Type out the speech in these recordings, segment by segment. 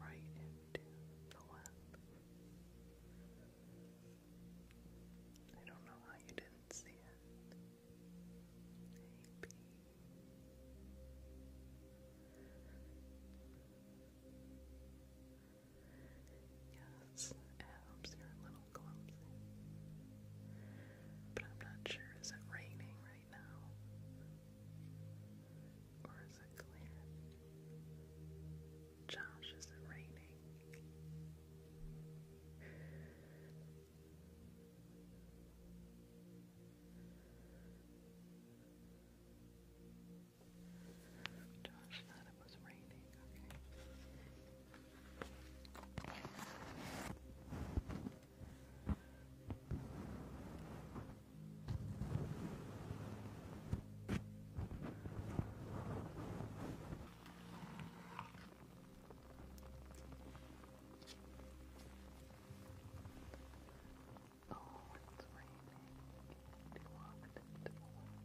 right into the left. I don't know how you didn't see it. Maybe. Yes, it helps little clumsy. But I'm not sure, is it raining right now? Or is it clear? Josh, is it raining? Josh thought it was raining, okay. Oh, it's raining. Do you want it to Just relax.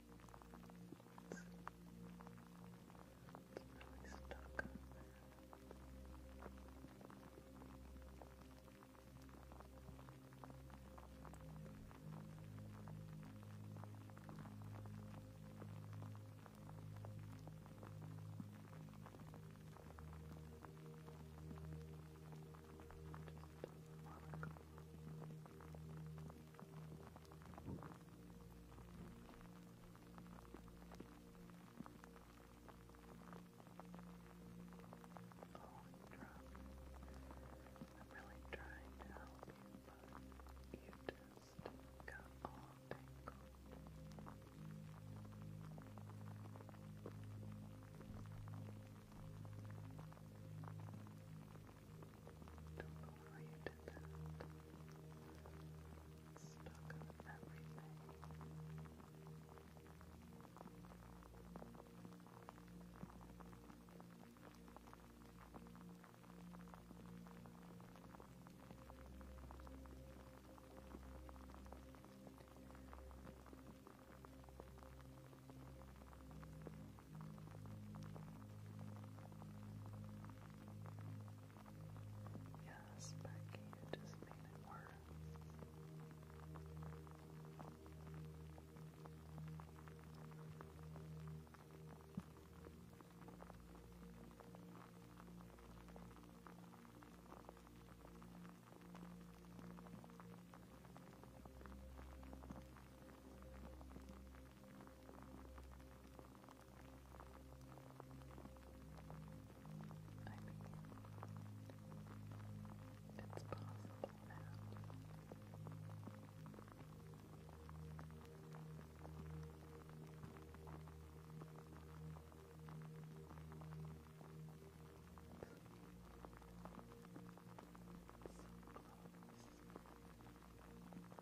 really stuck on just a while ago. Just I'm really trying to help you, but you just got all tangled. Thank you don't know why you did that. Stuck on everything. Thank you Yes, Becky, you just made it worse. I mean, it's possible now. So close.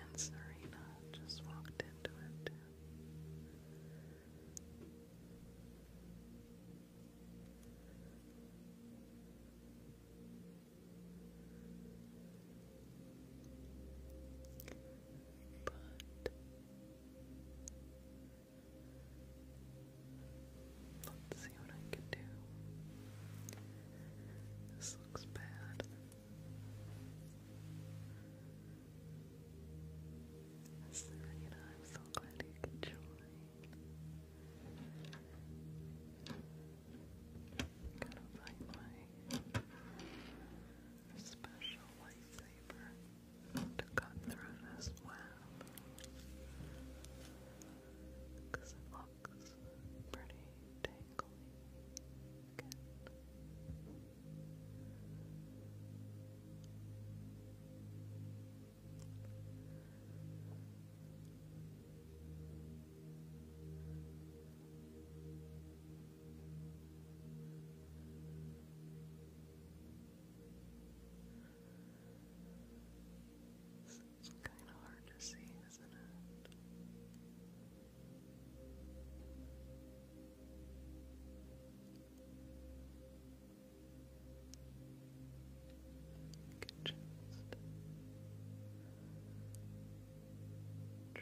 and Serena just walked into it. But Let's see what I can do. This looks bad. Serena, I'm so glad you could join. Gotta find my special license saber to cut through this web it looks pretty tangly it's kind of hard to see, isn't it? You can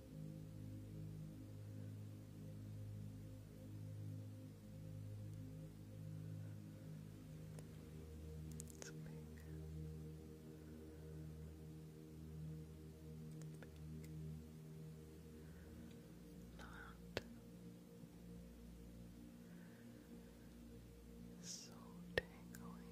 It's big. Not so tangly.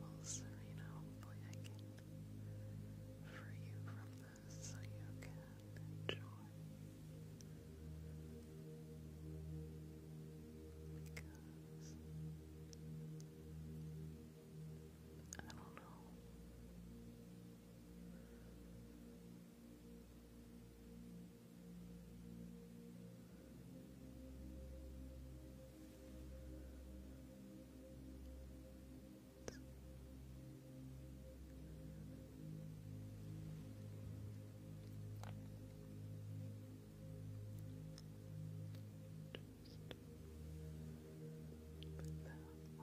Well, Serena, hopefully I can free you from this so you can enjoy. Because I don't know. Just put that away.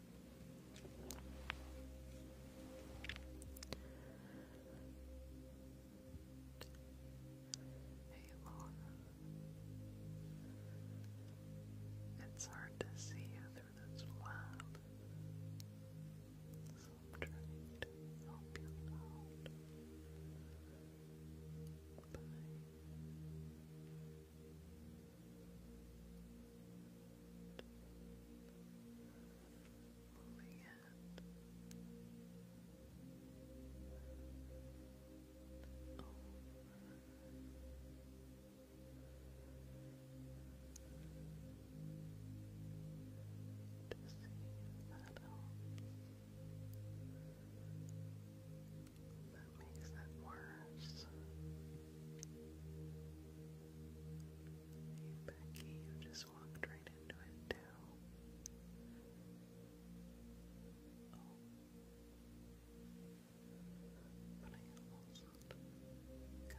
Hey Laura. It's hard to see you through this lab. So I'm trying to help you out moving it To see that That makes it worse. Becky, you just walked right into it too. Oh. But I almost got everything. Maybe.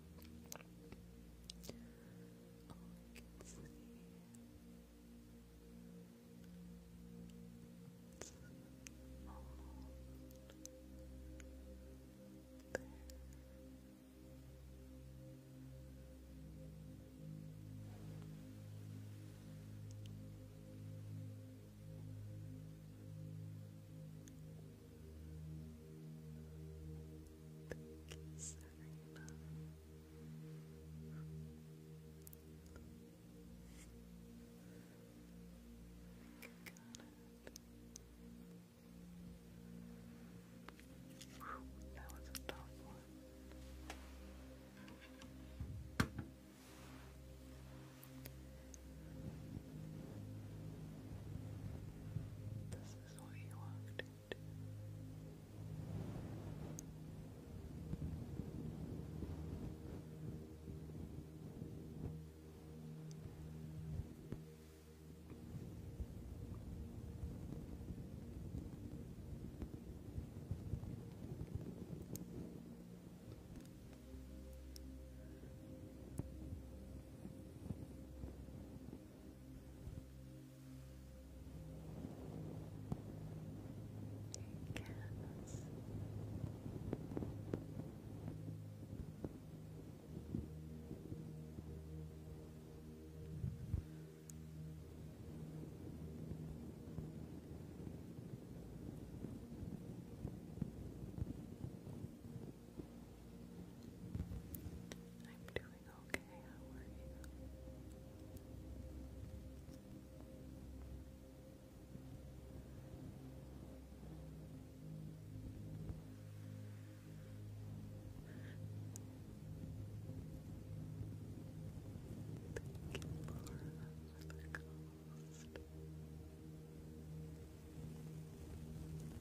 I can see it's all there. Thank you, Serena. Got it. That was a tough one. This is what you walked into. This Cats. Cats. I'm doing okay. How are you? Thank you for the cost.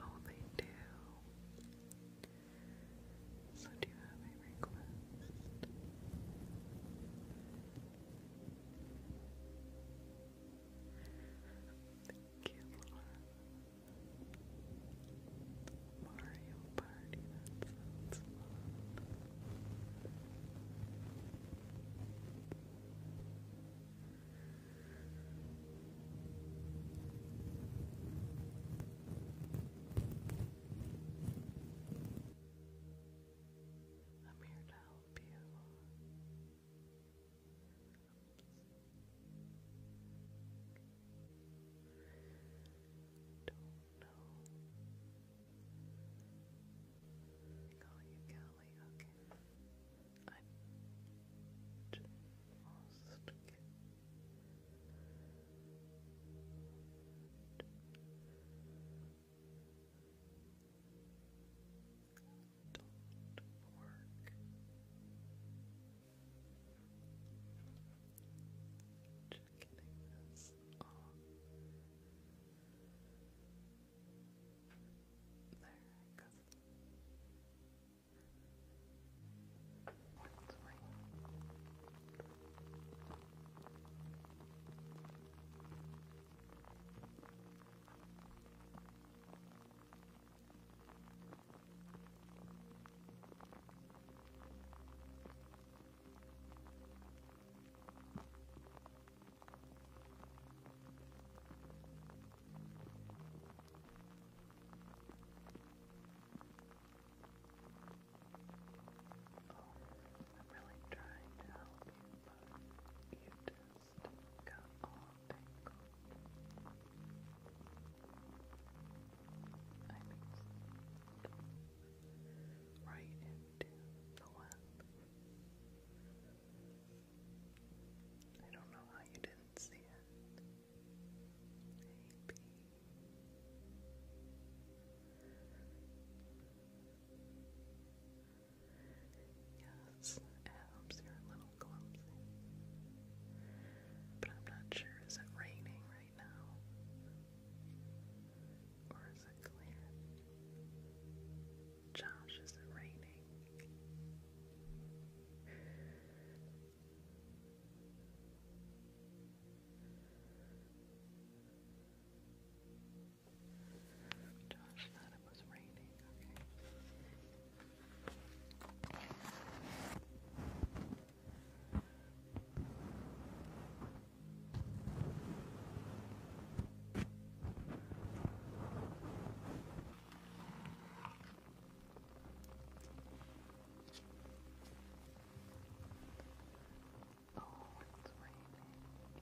Oh, they do. So, do you have a request? Thank you, Mario Party, that sounds I'm here to help you. Don't know. call you Kelly, okay. I almost get don't work. Just getting this off. There it goes. Let's wait. There Oh, I'm really trying to help you, but you do just right into the web. I don't know how you didn't see it. Maybe. Yes, it helps. little clumsy. But I'm not sure. Is it raining right now? Or is it clear? Josh, is it raining? Josh thought it was raining. Okay. Oh, it's raining.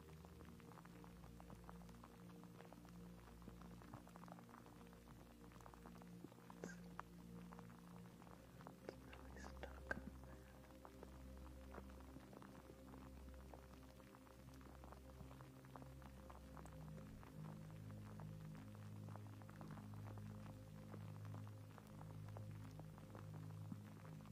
really stuck on that. It's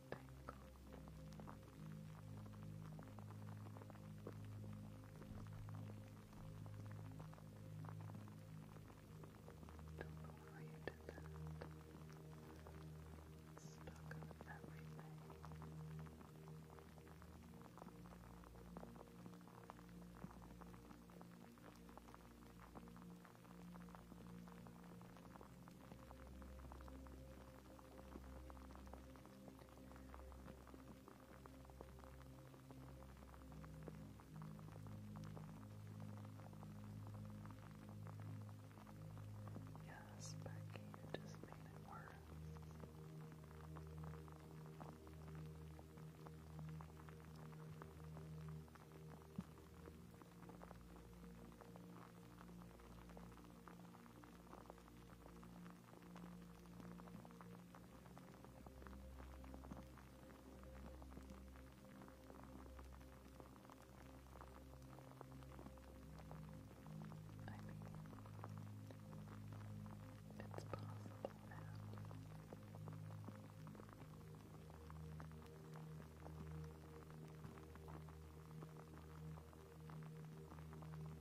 before you did that, stuck on everything. Now Yes, Becky, you just made it worse. Thank I mean, it's possible now. Thank you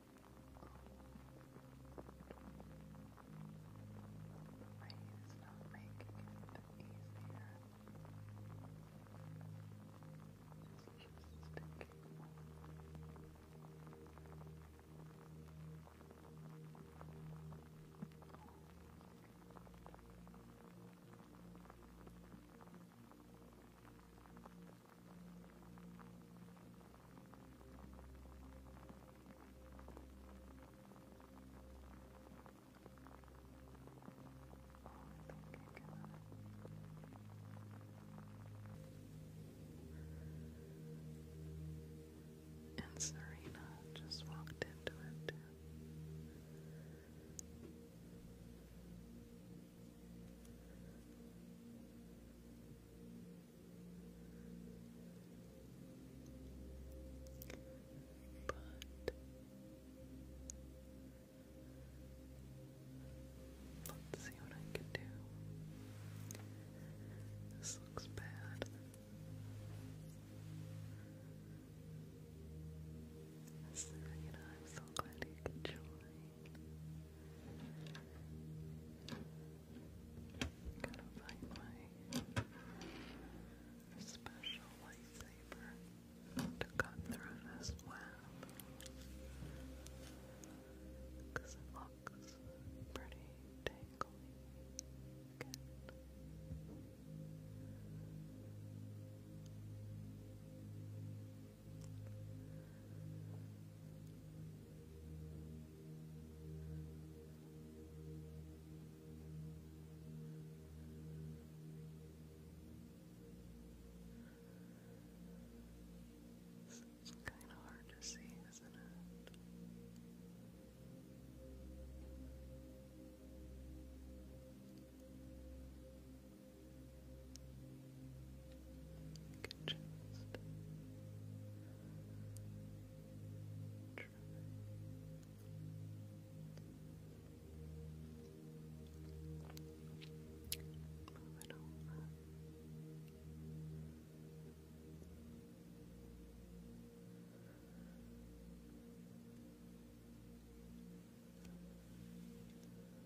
Please stop making it easier. It's just sticking. Thank you. And Serena just walked into it too. But let's see what I can do. This looks bad. you know, I'm so glad you can join. Gotta find my special lightsaber to cut through this web. it looks pretty tangly. It's kind of hard to see, isn't it? can just try. Move it over. Good.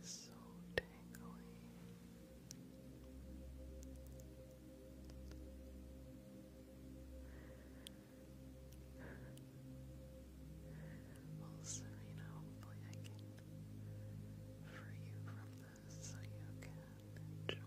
so tingly. Well, Serena, hopefully I can free you from this so you can enjoy.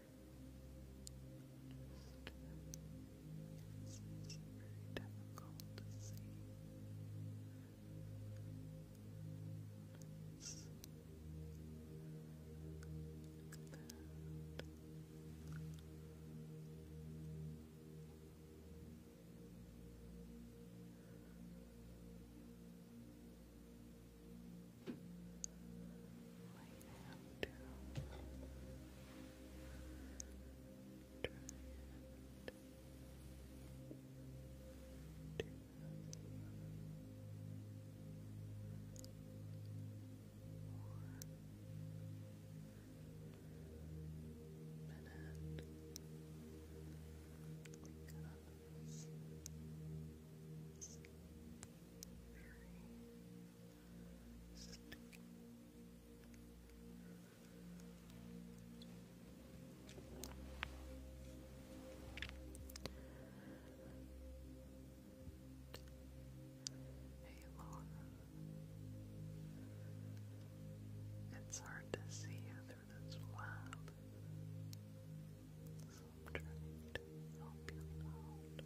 It's very difficult to see. Let's look at that. Good out to try and do one minute because three, two, Hey Laura. It's hard to see you through this web. So I'm trying to help you out.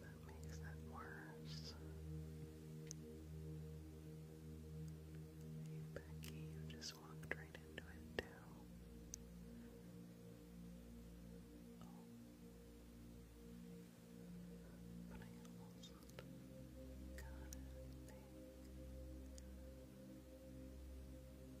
That makes it worse. Becky, you just walked right into it, too. Oh. But I almost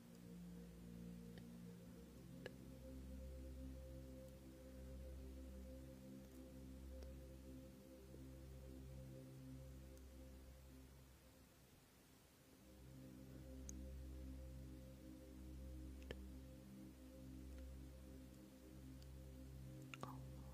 Almost. Almost.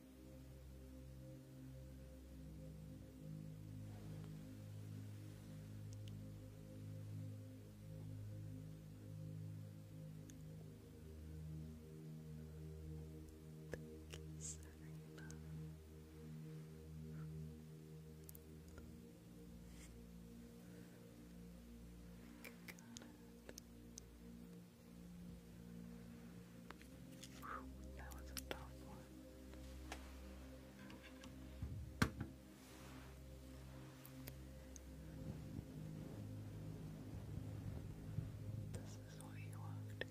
Thank you, Serena. Got it. Whew, This is what you walked into.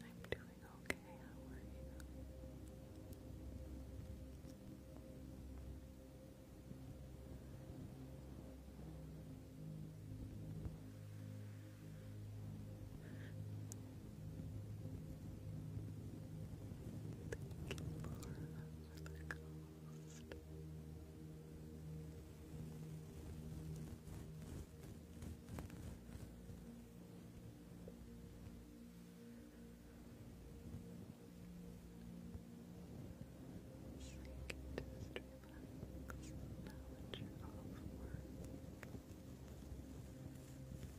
I'm doing okay. How are you? It's like just relax now that you're off work. Pictures of the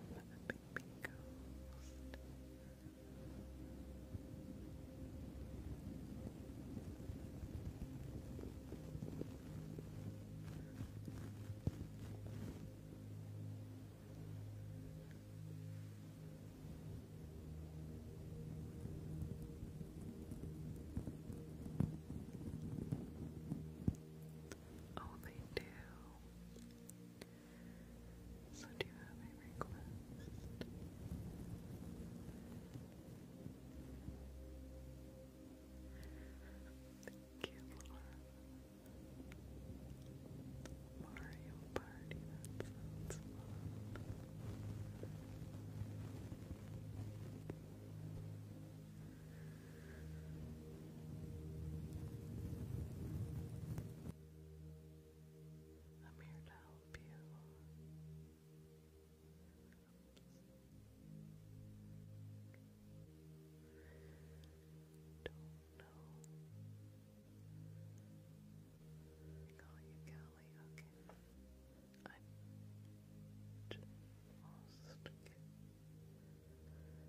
baby ghost. Oh, they do. So do you have a request? Thank you, Mario Party, that sounds I'm here to help you. Don't know. call you Callie, okay. I just lost.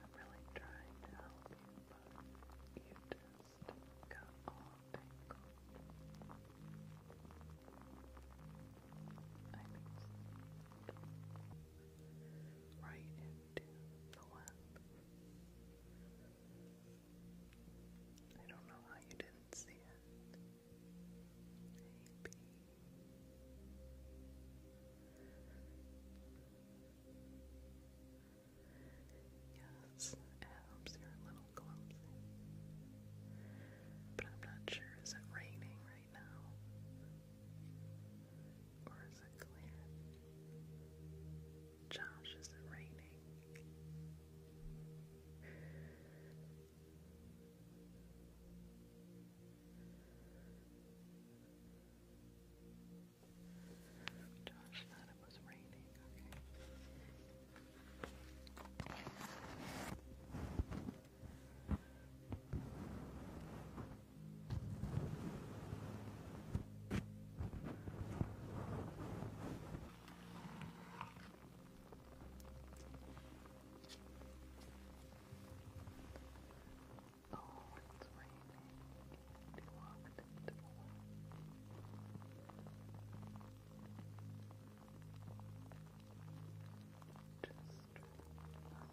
I'm really trying to help you, but you just got all tangled. right into the web. I don't know how you didn't see it. Maybe Yes, it are little clumsy. But I'm not sure, is it raining right now? Or is it clear? Josh, is it raining? Josh thought it was raining. Okay. Oh, it's raining. He walked into the water. Just Relax.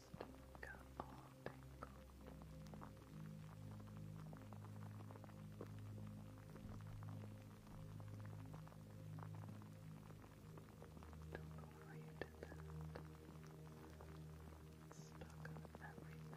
got all Don't know why you did that. Stuck everything.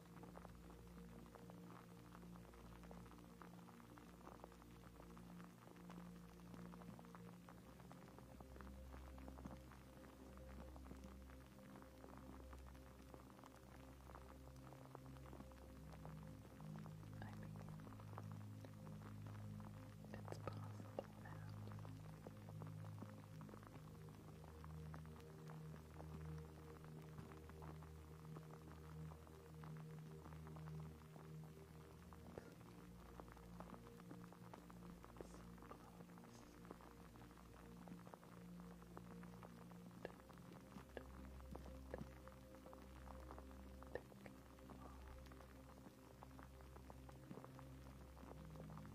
I mean, it's possible now. Take off.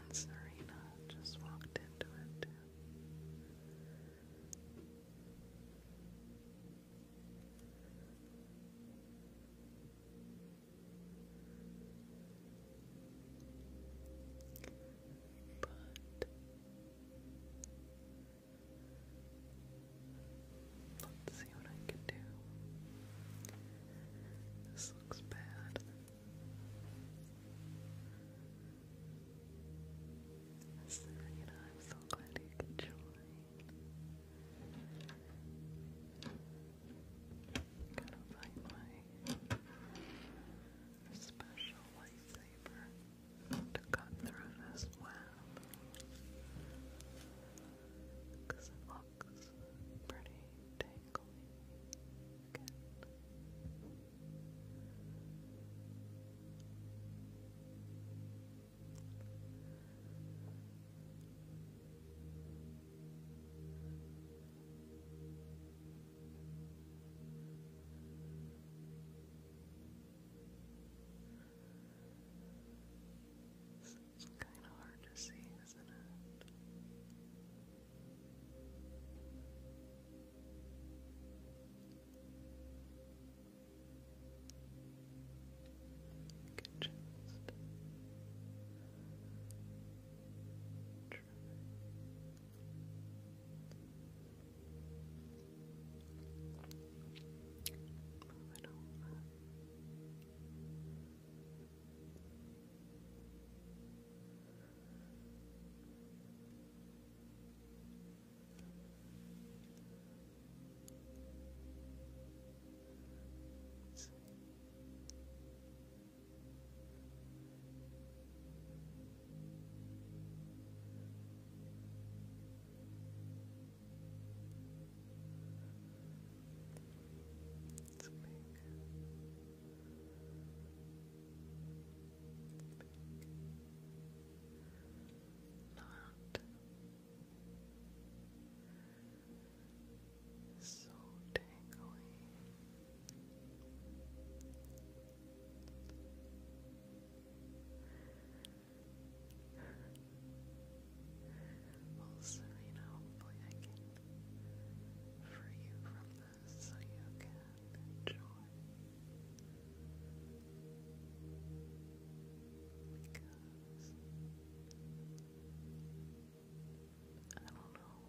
And Serena just walked into it but let's see what I can do. This looks bad. Serena, I'm so glad you could join. Gotta find my special lightsaber to cut through this web. Because it looks pretty tangly again. It's kind of hard to see, isn't it? You can just try. Move it over. Just it's big not so tingly. Well, Serena, hopefully I you from so you can enjoy because I don't know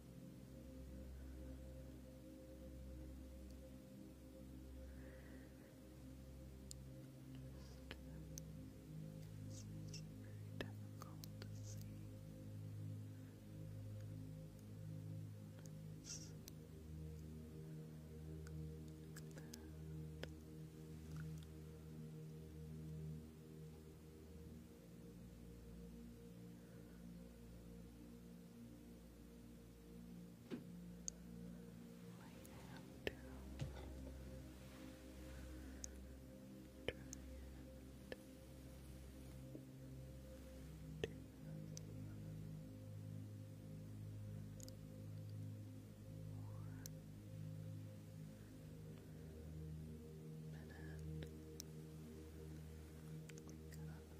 It's very difficult to see. It's like that. It's Light down. Try and do Minute. Cover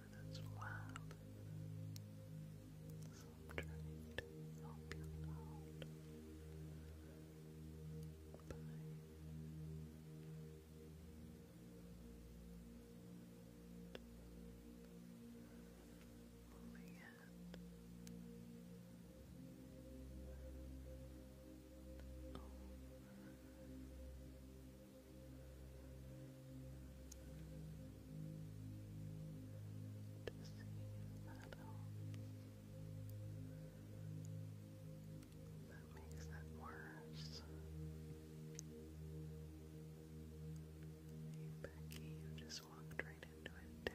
through wild I'm trying to help you out by to that makes it worse. Hey Becky, you just walked right into it too.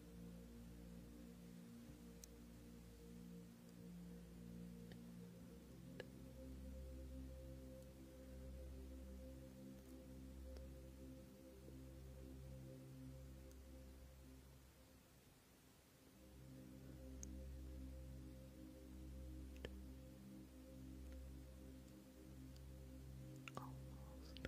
Almost.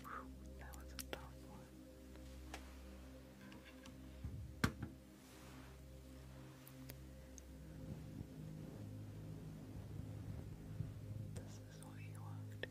Whew, that was a tough one. This is what you walked into.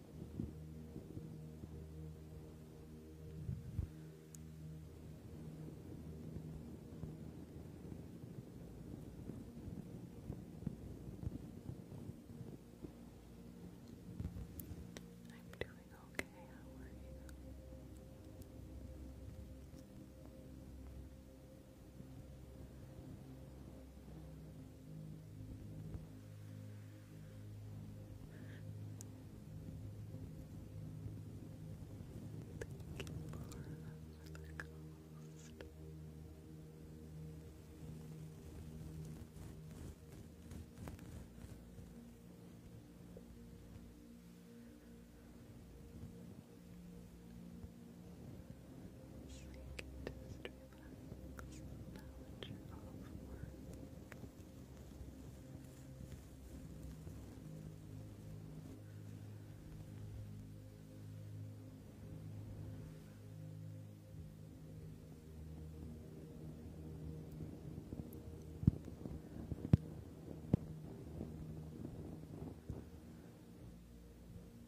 I'm doing okay. How are you? Thank you, Laura, for the ghost because the knowledge of worth. Thank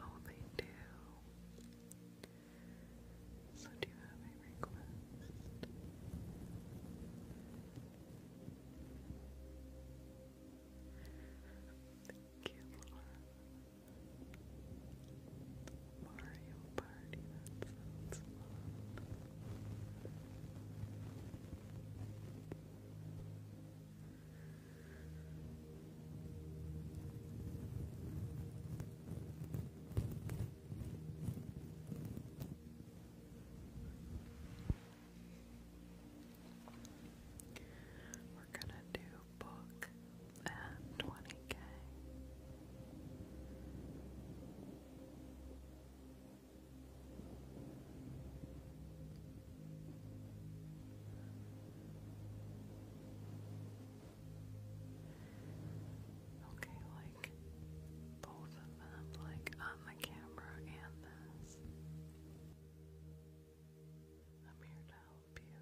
Oh, they do. So, do you have a request? Thank you, Laura. Mario Party, that sounds fun. We're gonna do book and twenty K. Okay, like both of them, like on the camera and this. I'm here to help you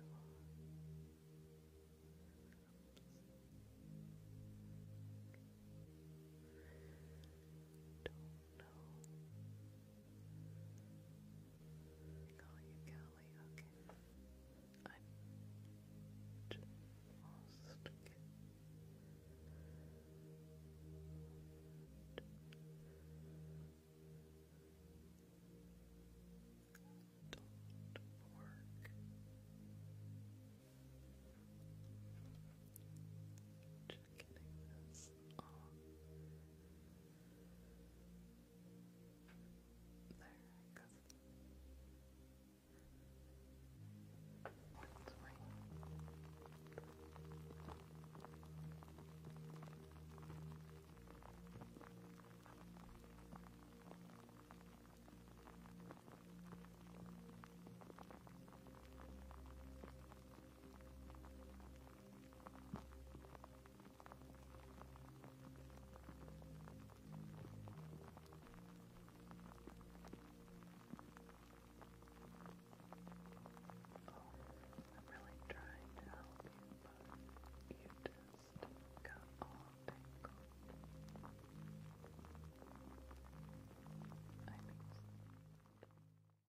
no. Call you Kelly, okay. I just lost Don't work getting this There, because it's Oh, I'm really trying to help you, but you just got all tangled. I think